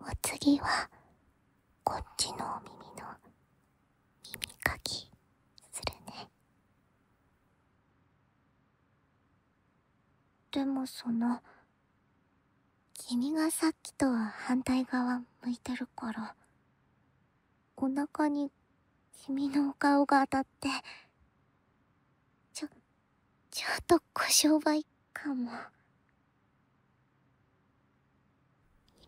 お次はこっちのお耳の耳かきするねでもその君がさっきとは反対側向いてるからお腹に君のお顔が当たってちょ、ちょっとご商売かも。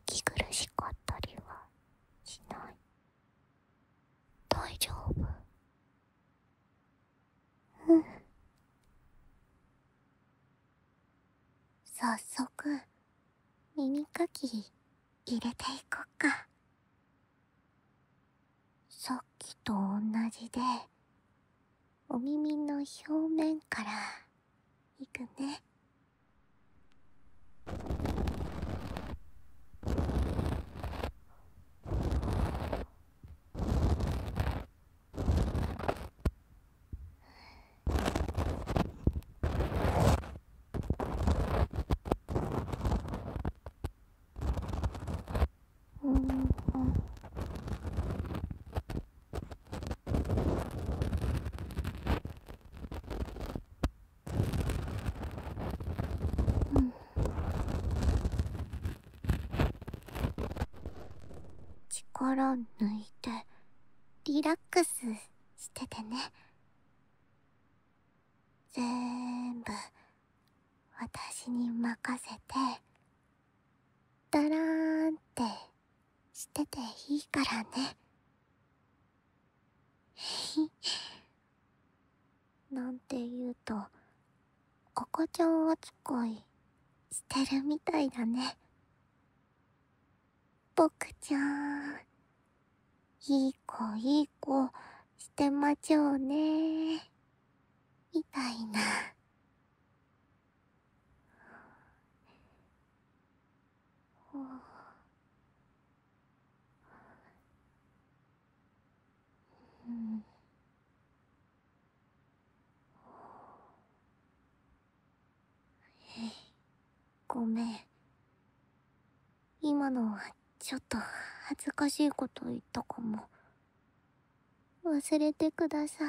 息苦しかったりはしない。大丈夫。うん。早速、耳かき入れていこっか。さっきと同じでお耳の表面からいくね。うんうん力抜いてリラックスしててねぜーんぶ私に任せてだらーんってしてていいからね なんて言うと赤ちゃん扱いしてるみたいだね僕ちゃんいい子いい子してまちょうねみたいなあ。あ。うんえごめん今のはちょっと恥ずかしいこと言ったかも。忘れてください。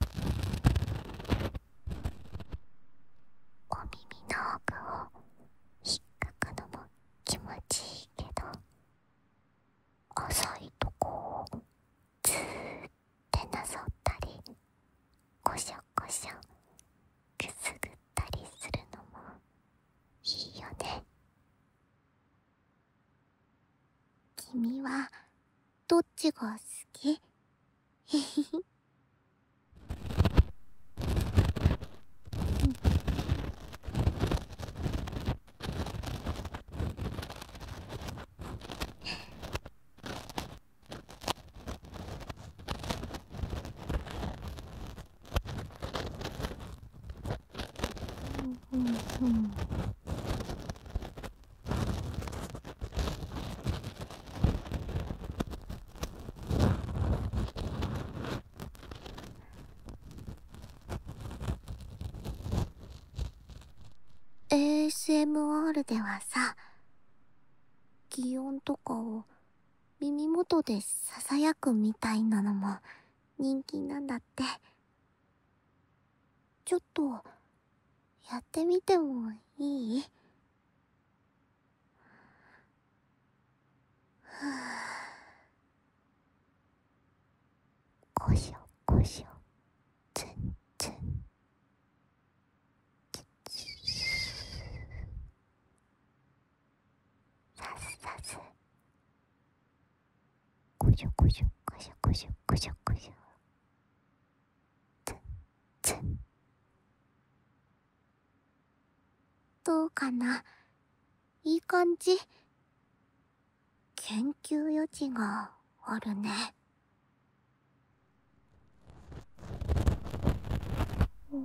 お耳の奥を引っかくのも気持ちいいけど浅いとこをずーってなぞったりこしょこしょくすぐったりするのもいいよね。君はどっちが好きうんうん。ASMR ではさ擬音とかを耳元でささやくみたいなのも人気なんだってちょっとやってみてもいいはこしょこしょつんつんさすさすこしょこしょこしょこしょこしょこしょつつどうかないい感じ研究余地があるねうん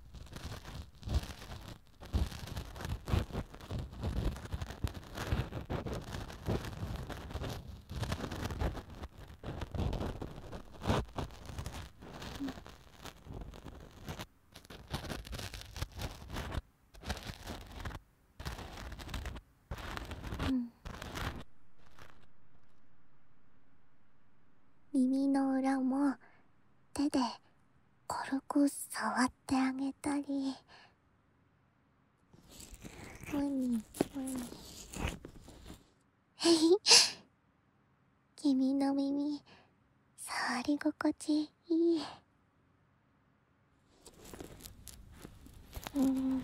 うん耳の裏も手で軽く触ってあげたりほにほにへい君の耳触り心地いいうんうん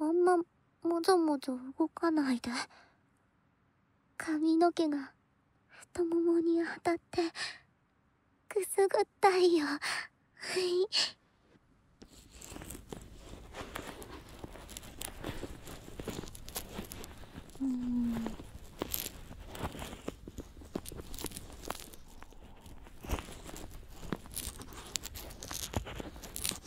あんまもぞもぞ動かないで髪の毛が太ももに当たってくすぐったいよはいうん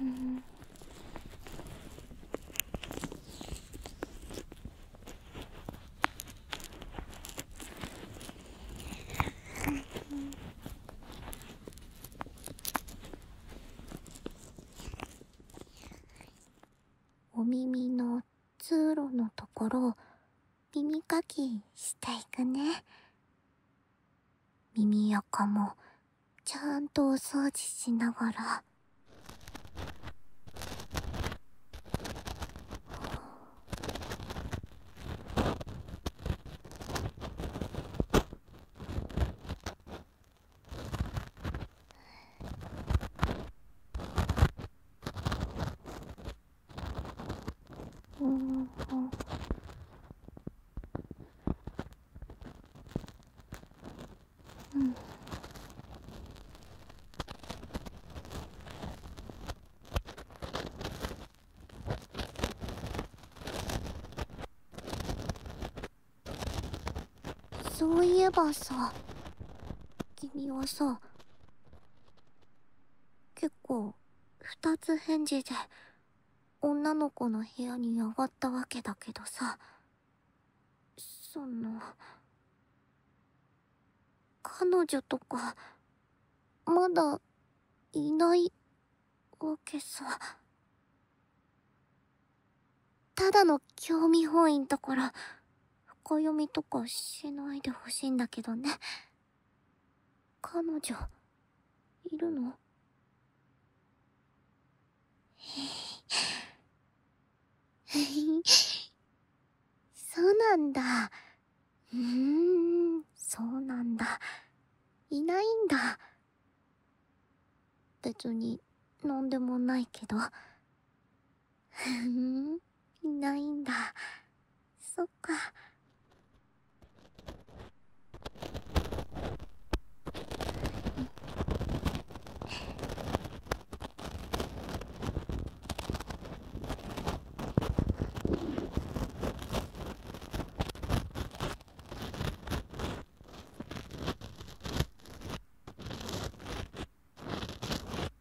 うんお耳の通路のところを耳かきしていくね。耳垢もちゃんとお掃除しながら。うんうんうんそういえばさ君はさ結構二つ返事で女の子の部屋に上がったわけだけどさその彼女とかまだいないわけさただの興味本位だから…深読みとかしないでほしいんだけどね。彼女、いるのへい。そうなんだ。うーん、そうなんだ。いないんだ。別に、何でもないけど。ふ んいないんだそっか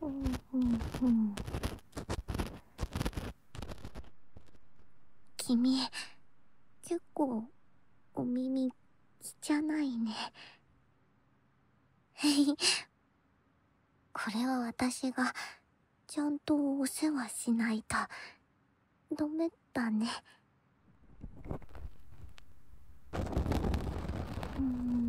うんうんうん君結構お耳じゃないね これは私がちゃんとお世話しないとダメだねうん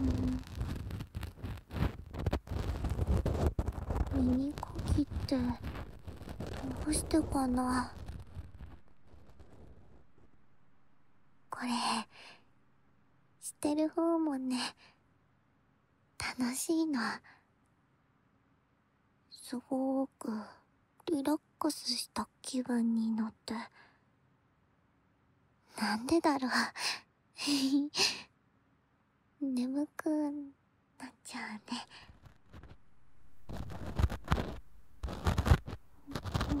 うん耳かきってどうしてかなこれしてる方もね楽しいの。すごくリラックスした気分になって。なんでだろう。眠くなっちゃうね。ん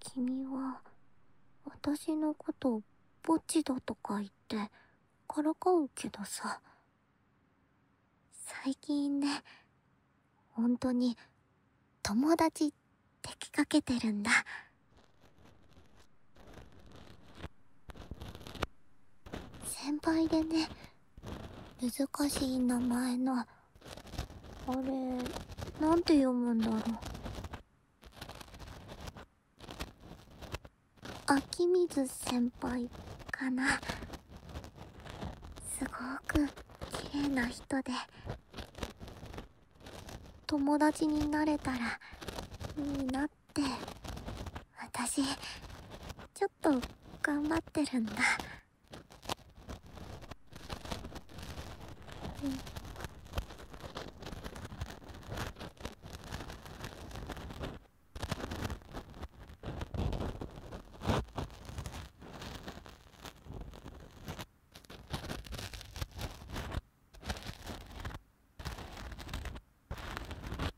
君は私のことぼっちだとか言ってからかうけどさ最近ね本当に友達ってきかけてるんだ先輩でね難しい名前のあれなんて読むんだろう秋水先輩かなすごく綺麗な人で友達になれたらいいなって。って私ちょっと頑張ってるんだうん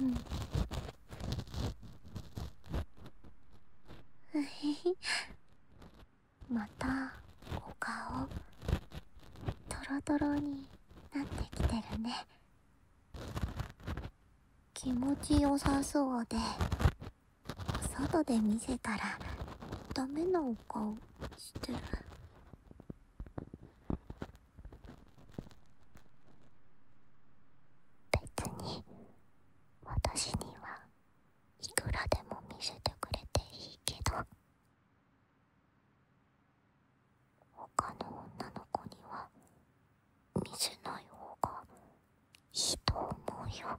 うんうへ またお顔トロトロになってきてるね気持ちよさそうで外で見せたらダメなお顔してる別に私にはいくらでも見せてくれていいけど他の女の子には見せない方がいいと思うよ。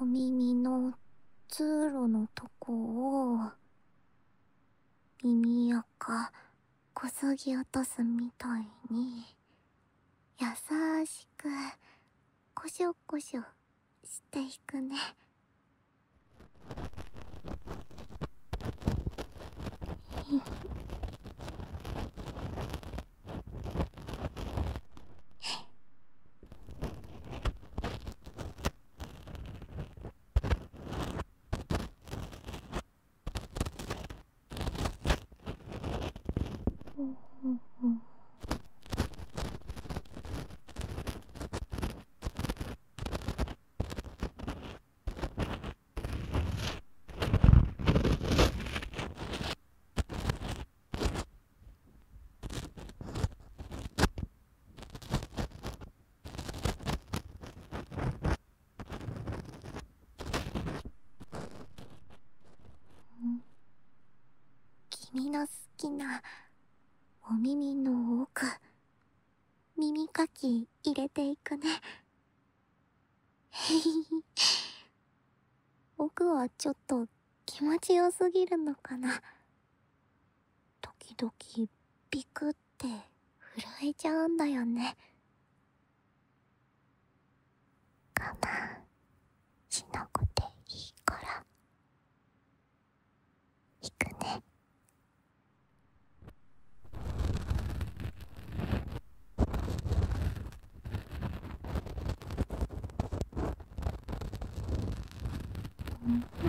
お耳の通路のとこを耳垢こそぎ落とすみたいに優しくこしょこしょしていくね君の好きなお耳の奥耳かき入れていくね。へい。僕はちょっと気持ちよすぎるのかな。時々ビクって震えちゃうんだよね。かな、しなくていいから。行くねう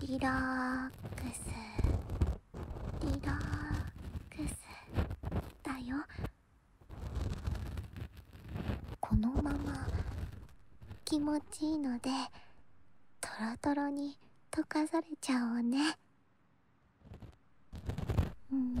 リラックスリラックスだよこのまま気持ちいいのでトロトロに溶かされちゃおうねうん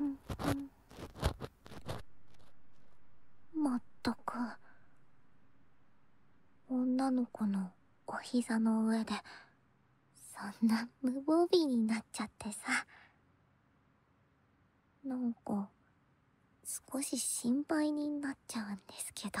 うんまったく女の子のお膝の上でそんな無防備になっちゃってさなんか少し心配になっちゃうんですけど。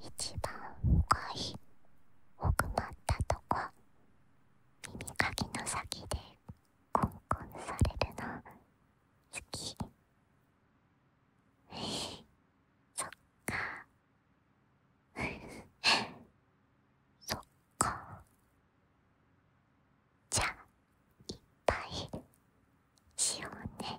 一番深い奥まったとこ耳かきの先でコンコンされるの好きそっかそっか。こうじゃいっぱいしようねえ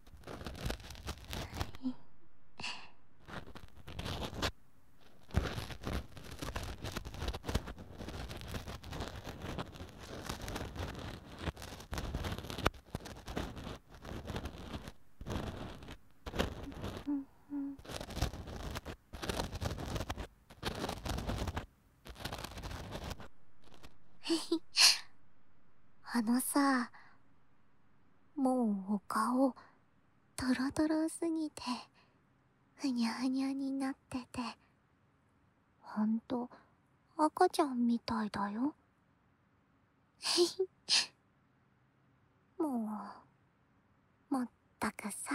あのさもうお顔トロトロすぎてふにゃふにゃになっててほんと赤ちゃんみたいだよ もうまったくさ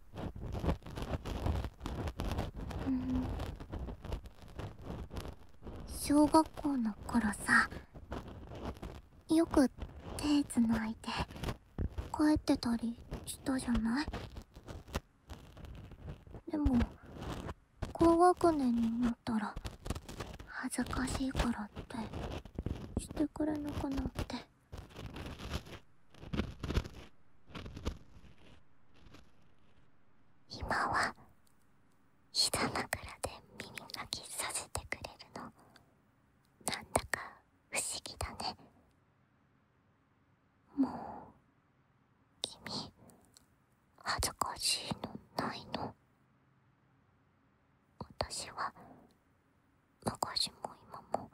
うん小学校の頃さよく手つないで帰ってたりしたじゃないでも高学年になったら恥ずかしいからってしてくれなくなって。今は膝枕で耳鳴きさせてくれるのなんだか不思議だねもう君恥ずかしいのないの私は昔も今も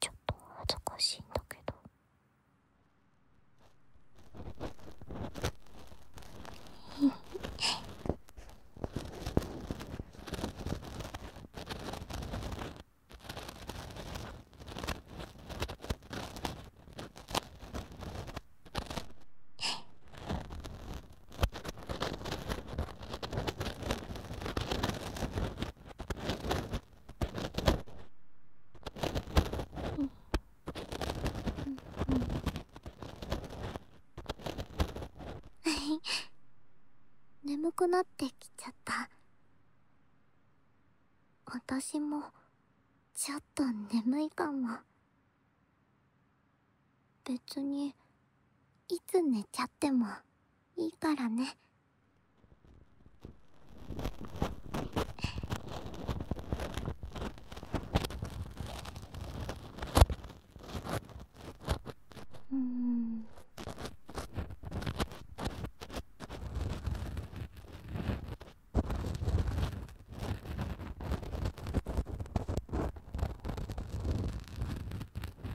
ちょっと恥ずかしいんだけど 眠くなってきちゃった私もちょっと眠いかも別にいつ寝ちゃってもいいからね。うん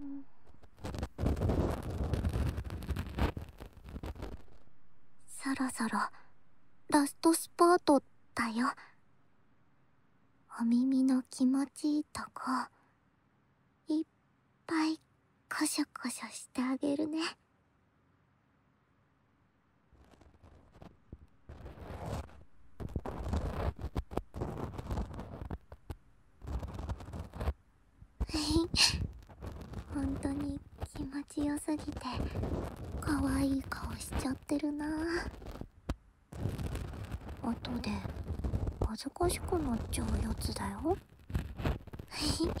うん、そろそろラストスパートだよお耳の気持ちいいとこいっぱいこしょこしょしてあげるね。本当に気持ちよすぎて可愛い顔しちゃってるな後で恥ずかしくなっちゃうやつだよはい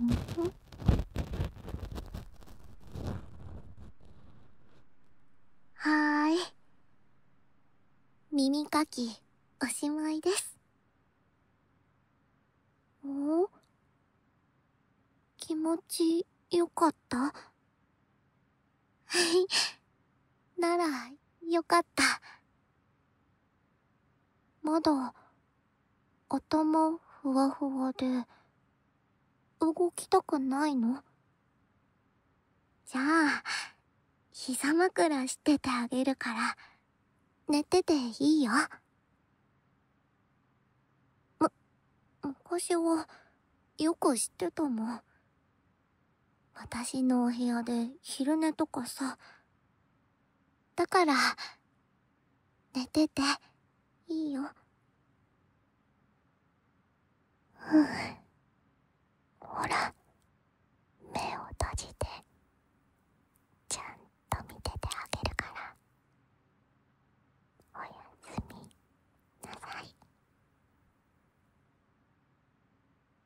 うんはーい耳かきおしまいですお気持ちよかったはい ならよかったまだ頭ふわふわで動きたくないのじゃあ膝枕しててあげるから寝てていいよ。む、昔はよく知ってたもん。私のお部屋で昼寝とかさ、だから寝てていいようんほら目を閉じてちゃんと見ててあげるからおやすみなさい